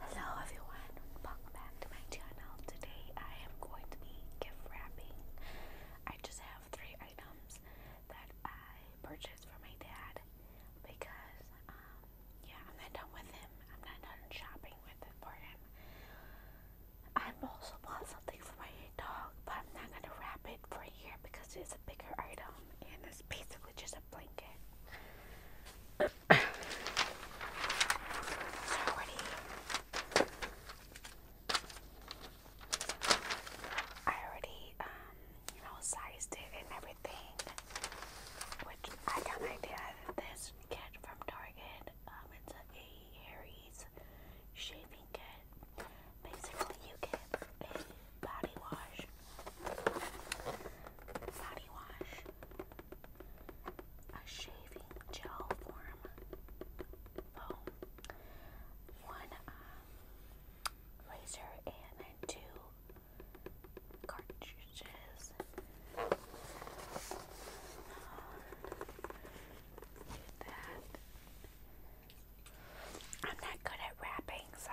Hello everyone, welcome back to my channel. Today I am going to be gift wrapping. I just have three items that I purchased for my dad because um, yeah, I'm not done with him. I'm not done shopping with for him. I'm also bought something for my dog, but I'm not gonna wrap it for here because it's a bigger item and it's basically just a blanket. I already, um, you know, sized it and everything, which I got my dad this kit from Target. Um, it's a Harry's shaving kit. Basically, you get a body wash, body wash, a shaving gel form foam, oh. one um, and two cartridges. Um, I'm not good at wrapping, so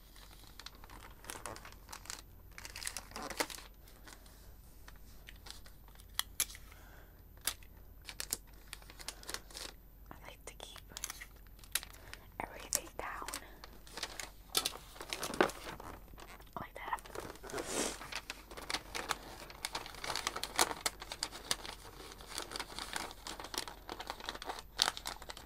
I like to keep everything down like that.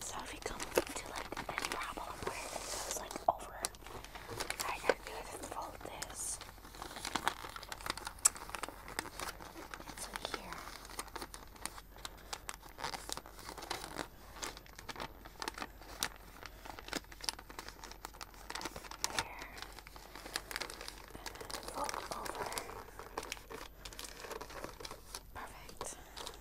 So if we come to like any problem where it goes like over, I gotta do is fold this. And so here and fold over. Perfect. Okay.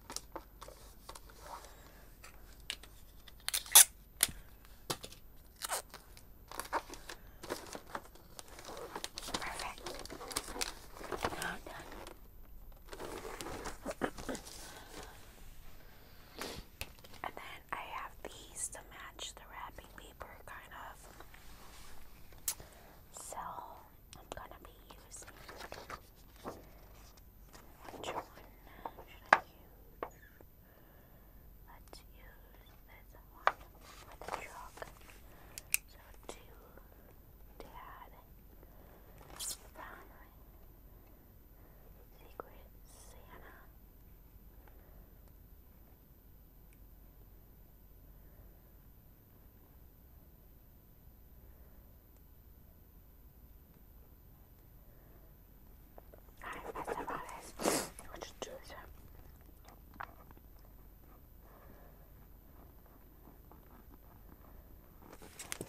Perfect. Now done. and then I have these to match the wrapping paper, kind of. So I'm gonna be using which one should I use? Let's use this one with a chalk. So two dad family secret Santa. Alright, that's about it. I'll just do this.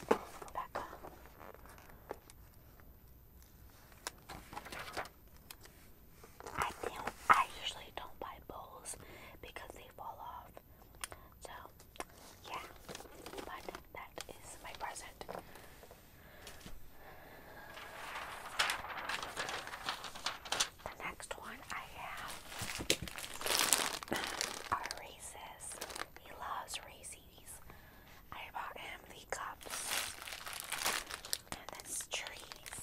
Go back up. I I usually don't buy bowls because they fall off. So yeah, but that is my present. The next one I have are Reese's. He loves Reese's. I bought him the cups and this trees.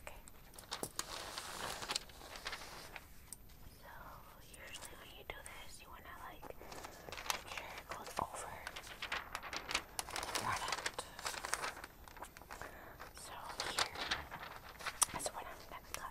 Okay. So usually when you do this, you wanna like make sure it goes over the product. So here is what I'm gonna cut.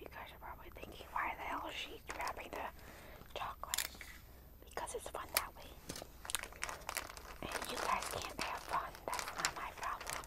You guys are probably thinking, why the hell is she grabbing the chocolate? Because it's fun that way. And you guys can't have fun that's not my problem.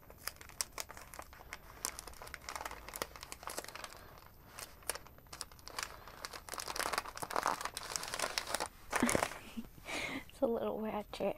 it's a little ratchet.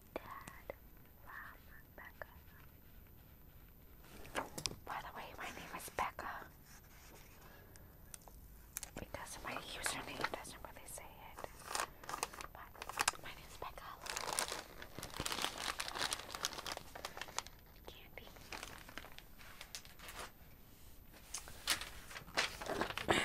dad from By the way, my name is Becca. Because my username doesn't really say it. But my name is Becca. Candy.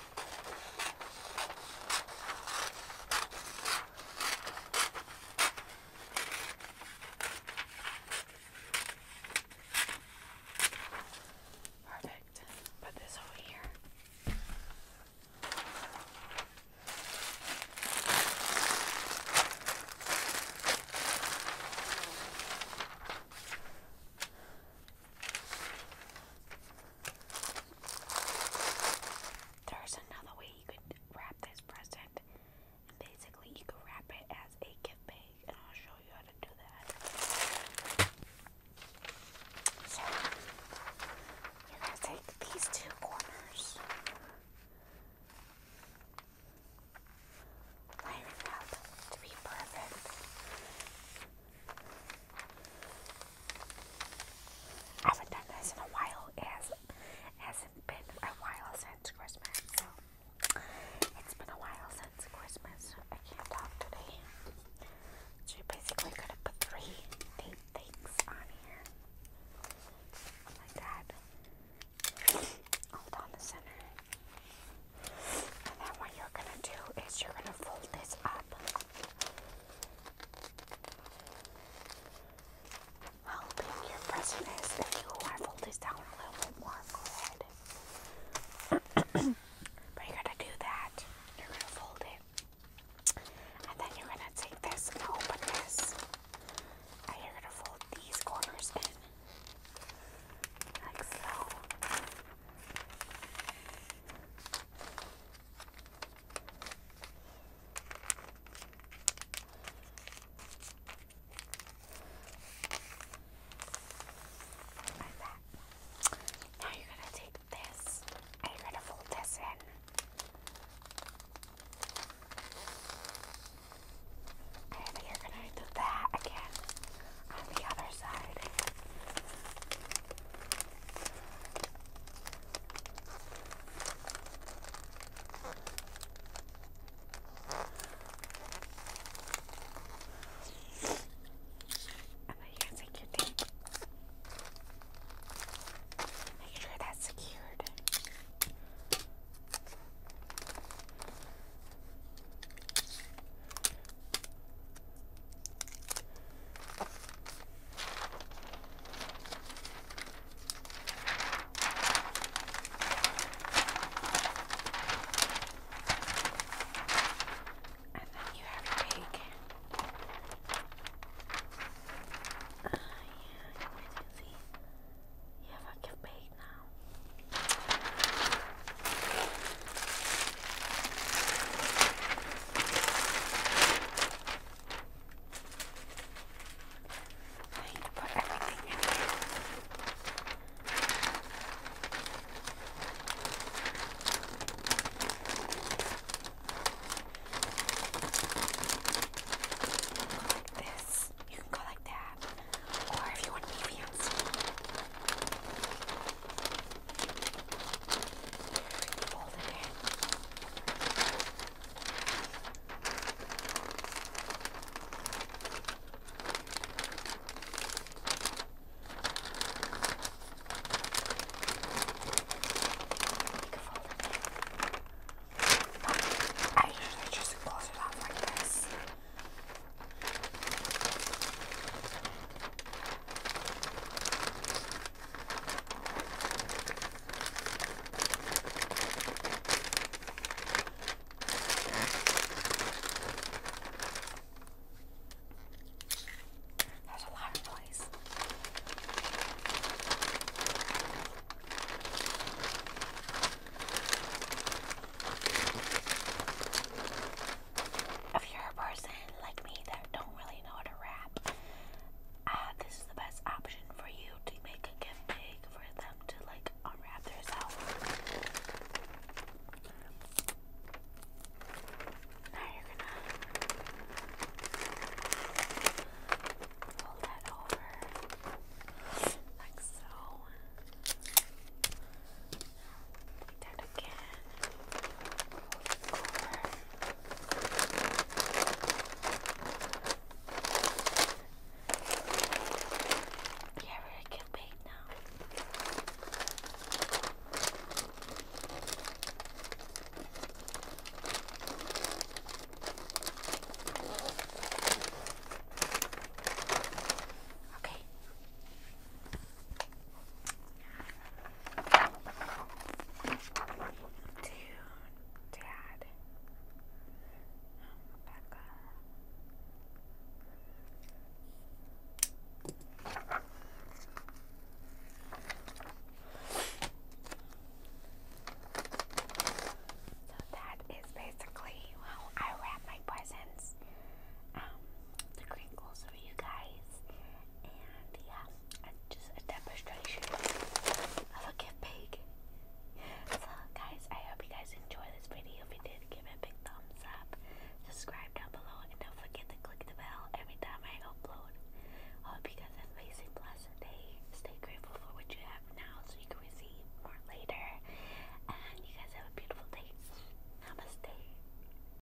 Perfect. Put this over here. There's another way you could wrap this present. And basically, you could wrap it as a gift bag, and I'll show you how to do that. So, you're going to take these two corners, line up to be perfect. I haven't done this in a while. It hasn't, been a while since Christmas. So it's been a while since Christmas. I can't talk today. So you basically could have put three date things on here. Like that. All down the center. And then what you're gonna do is you're gonna fold this up. How big your present is if you want this down a little bit more. Go are gonna do that. You're gonna fold it. And then you're gonna take this and open this. And you're gonna fold these corners in. Like so. Now you're gonna take this and you're gonna fold this in. And you're gonna do that again on the other side you guys like your tape? Make sure that's secured. Okay. And then you have your cake. Uh, yeah, emergency. You have a cake now. I need to put everything in here. Go like this. You can go like that. Or if you want to be fancy. Fold it in. I usually just close it up like this. There's a lot of noise if you're a person like me that don't really know how to wrap, uh, this is the best option for you to make a gift bag for them to like unwrap themselves. Now you're gonna pull that over like so. Take that Yeah, we can bait now. Okay. Dude, Dad. Oh, So that is basically how I wrap my presents. Um, the crinkles for you guys and he just a demonstration of a gift bag. So guys, I hope you guys enjoy this video. If you did, give it a big thumbs up, subscribe down below, and don't forget to click the bell every time I upload. I hope you guys have an amazing, blessed day. Stay grateful for what you have now so you can receive more later. And you guys have a beautiful day. Namaste.